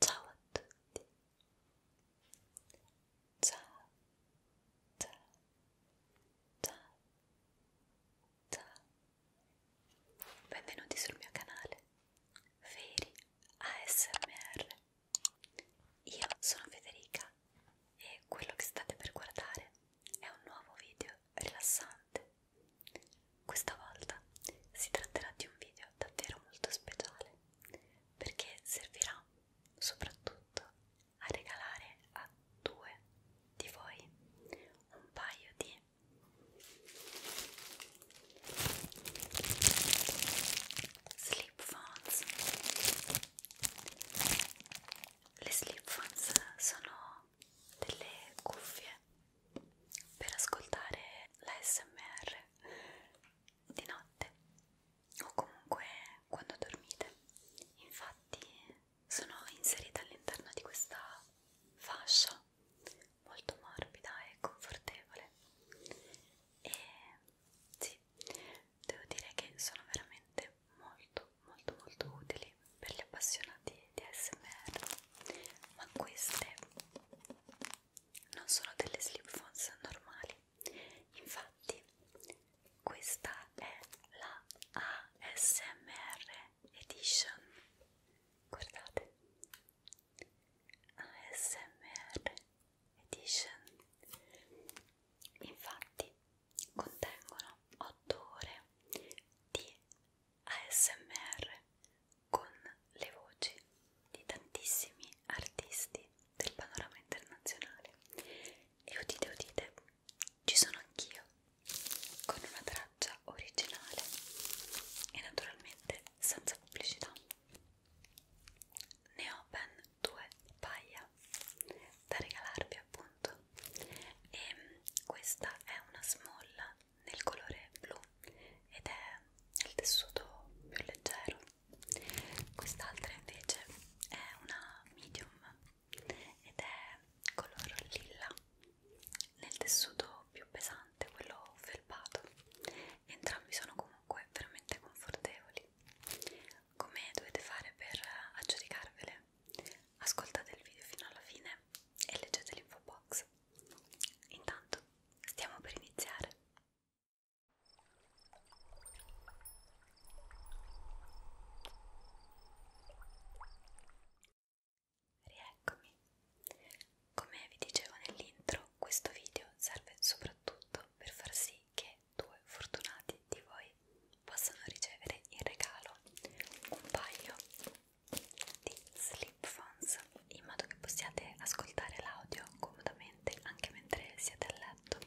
Ciao a tutti. Ciao. Ciao. Ciao. Ciao. Benvenuti sul mio canale Feri ASMR. Io sono Federica e quello che state per guardare è un nuovo video rilassante questa volta si tratterà di un video davvero molto speciale perché servirà soprattutto a regalare a due di voi un paio di slip phones. Le slip phones sono delle cuffie per ascoltare la SMR di notte o comunque quando dormite. Infatti sono inserita all'interno di questa fascia molto morbida e confortevole e sì, devo dire che sono veramente molto molto molto utili per gli appassionati di ASMR ma queste non sono delle slip phones normali infatti questa è la ASMR edition guardate ASMR edition infatti contengono 8 ore di ASMR con le voci di tantissimi artisti del panorama internazionale e udite udite ci sono anch'io con una traccia originale e naturalmente senza pubblicità ne ho ben due paia da regalarvi appunto appunto e mm, questa è una smolla nel colore blu ed è nel tessuto più leggero quest'altra invece è una medium ed è color lilla nel tessuto più pesante quello felpato entrambi sono comunque veramente confortevoli come dovete fare per eh, aggiudicarvele ascoltate il video fino alla fine e leggete l'info box. Intanto, stiamo per iniziare. Rieccomi. Come vi dicevo nell'intro, questo video serve soprattutto per far sì che due fortunati di voi possano ricevere in regalo un paio di slip phones in modo che possiate ascoltare l'audio comodamente anche mentre siete a letto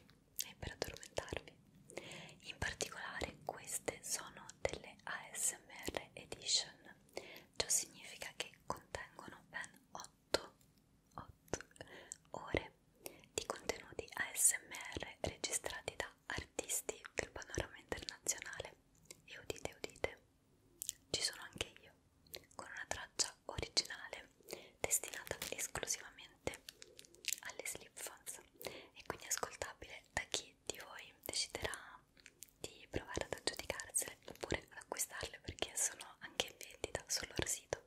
e per addormentarvi. In particolare queste sono delle ASMR Edition, ciò significa che contengono ben 8, 8 ore di contenuti ASMR registrati da artisti del panorama internazionale e udite udite, ci sono anche io, con una traccia originale destinata esclusivamente alle slip phones e quindi ascoltabile da chi di voi deciderà di provare ad aggiudicarsele oppure ad acquistarle perché sono anche in vendita sul loro sito.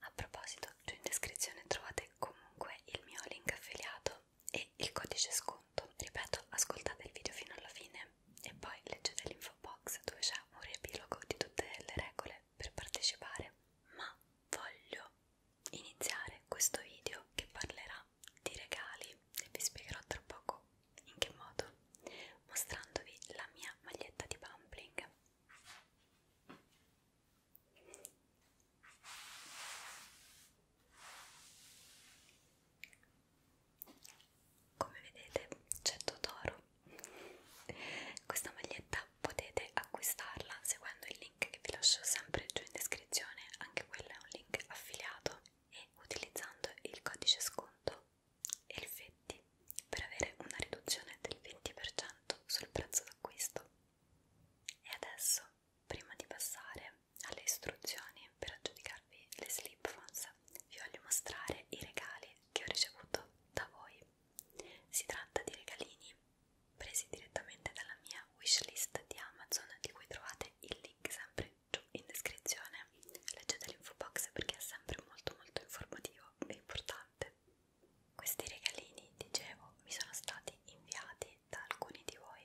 A proposito, giù in descrizione trovate comunque il mio link affiliato sconto e il codice sconto. Ripeto, ascoltate il video fino alla fine e poi leggete l'info box dove c'è un riepilogo di tutte le regole per partecipare. Ma voglio iniziare questo video che parlerà di regali e vi spiegherò tra poco in che modo, mostrandovi la mia maglietta di Bumbling. Come vedete c'è Totoro. Questa maglietta potete acquistarla seguendo il link che vi lascio sempre giù in descrizione, anche quello è un link affiliato e utilizzando il codice sconto ELFETTI per avere una riduzione del 20% sul prezzo d'acquisto. E adesso, prima di passare alle istruzioni per aggiudicarvi le slip phones vi voglio mostrare i regali che ho ricevuto da voi si tratta di regalini presi direttamente dalla mia wishlist di Amazon di cui trovate il link sempre giù in descrizione leggete l'info box perché è sempre molto molto informativo e importante questi regalini dicevo mi sono stati inviati da alcuni di voi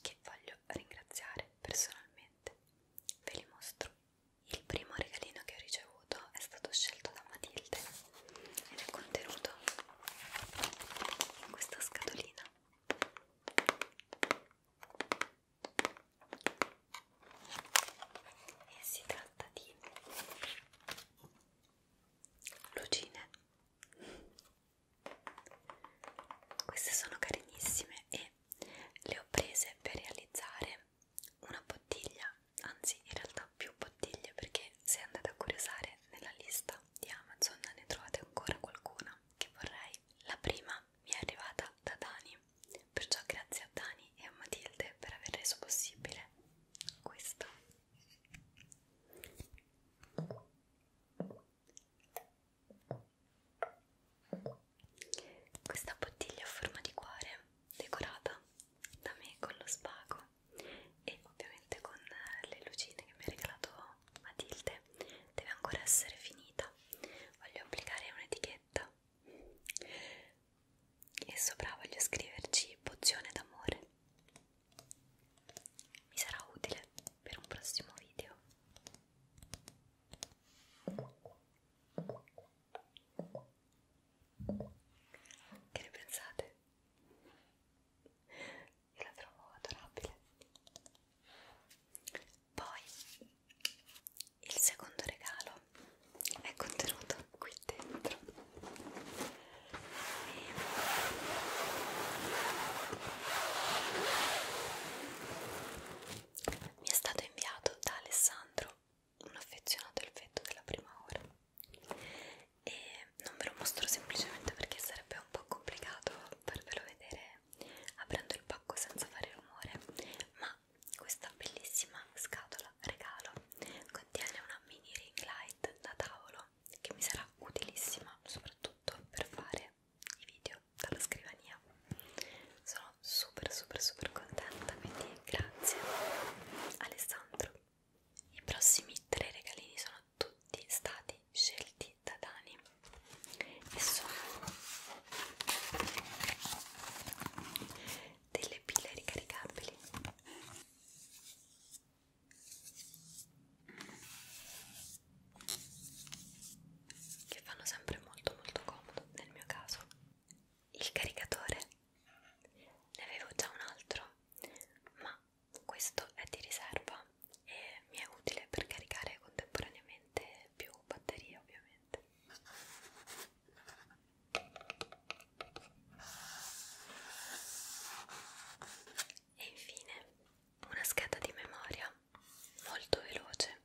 che voglio ringraziare personalmente. Ve li mostro. Il primo regalino che ho ricevuto è stato scelto da Matilde ed è contenuto in questa scatolina. E si tratta di lucine queste sono carinissime e le ho prese per realizzare una bottiglia, anzi in realtà più bottiglie perché se andate a curiosare nella lista di Amazon ne trovate ancora qualcuna che vorrei. La prima mi è arrivata da Dani, perciò grazie a Dani e a Matilde per aver reso possibile questo. Questa bottiglia a forma di cuore, decorata da me con lo spago e ovviamente con le lucine che mi ha regalato Matilde, deve ancora essere finita. Voglio applicare un'etichetta e sopra voglio scriverci pozione d'amore mi sarà utile per un prossimo video. Che ne pensate? Io la trovo adorabile. Poi il secondo regalo è contenuto qui dentro mi è stato inviato da Alessandro, un affezionato al fetto della prima ora, e non ve lo mostro semplicemente perché sarebbe un po' complicato farvelo vedere aprendo il pacco senza fare rumore, ma questa bellissima scatola regalo contiene una mini ring light da tavolo che mi sarà utilissima soprattutto per fare i video dalla scrivania sono super super super contenta quindi grazie Alessandro i prossimi tre regalini sono tutti stati scelti da Dani e sono delle pile ricaricabili che fanno sempre molto molto comodo nel mio caso il caricatore ne avevo già un altro ma questo è di riserva e mi è utile per caricare contemporaneamente più batterie ovviamente e infine una scheda di memoria molto veloce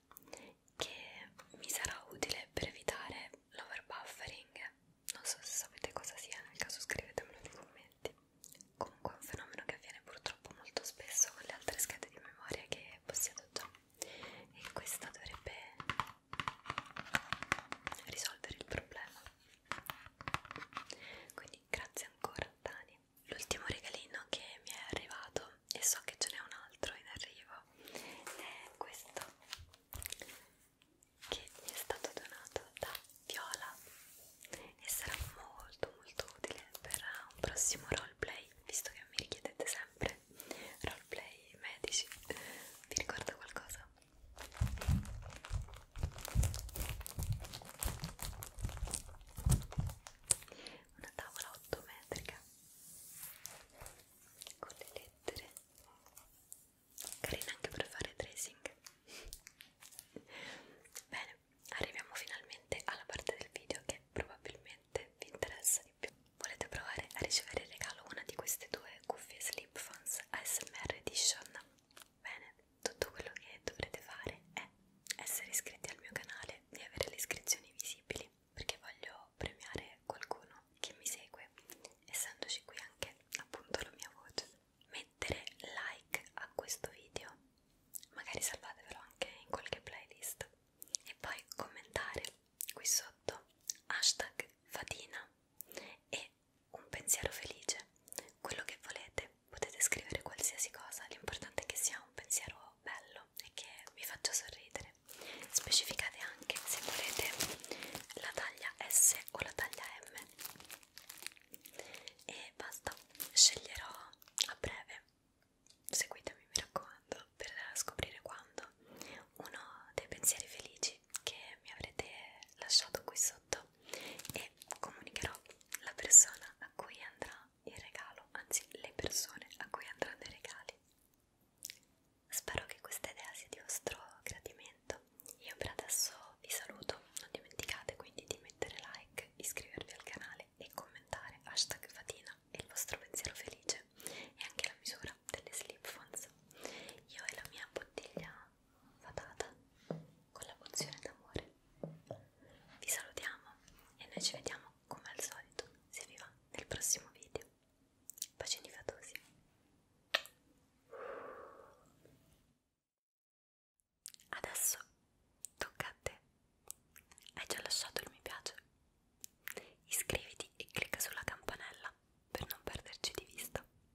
che mi sarà utile per evitare l'overbuffering non so se sapete cosa sia nel caso scrivetemelo nei commenti comunque è un fenomeno che avviene purtroppo molto spesso con le altre schede di memoria che possiedo già e questa dovrebbe risolvere il problema quindi Grazie ancora Dani. L'ultimo regalino che mi è arrivato, e so che ce n'è un altro in arrivo, è questo che mi è stato donato da Viola e sarà molto molto utile per un prossimo roleplay, visto che mi richiedete sempre roleplay medici. Vi ricorda qualcosa? una tavola 8 metrica con le lettere carina anche per fare tracing bene arriviamo finalmente alla parte del video che probabilmente vi interessa di più volete provare a ricevere in regalo una di queste due cuffie sleep phones ASMR edition bene tutto quello che dovrete fare è essere iscritti al mio canale e avere le iscrizioni visibili perché voglio premiare qualcuno che mi segue essendoci qui anche appunto la mia voce mettere like a questo video magari salvatevelo anche in qualche playlist e poi commentare qui sotto hashtag fatina e un pensiero felice, quello che volete, potete scrivere qualsiasi cosa, l'importante è che sia un pensiero bello e che vi faccia sorridere. Specificate anche se volete la taglia S o la taglia M. E basta, sceglierò a breve. Seguitemi, mi raccomando, per scoprire quando uno dei pensieri felici che mi avrete lasciato qui sotto e comunicherò la persona a cui andrà il regalo, anzi le persone a cui andranno i regali. Spero che questa idea sia di vostro gradimento. Io per adesso vi saluto, non dimenticate quindi di mettere like, iscrivervi al canale e commentare hashtag fatina e il vostro pensiero felice e anche la misura delle slip phones. Io e la mia bottiglia fatata con la pozione d'amore. Vi salutiamo e noi ci vediamo come al solito, se vi va, nel prossimo video. Bacini fatosi. Adesso tocca a te. Hai già lasciato il mi piace? Iscriviti e clicca sulla campanella per non perderci di vista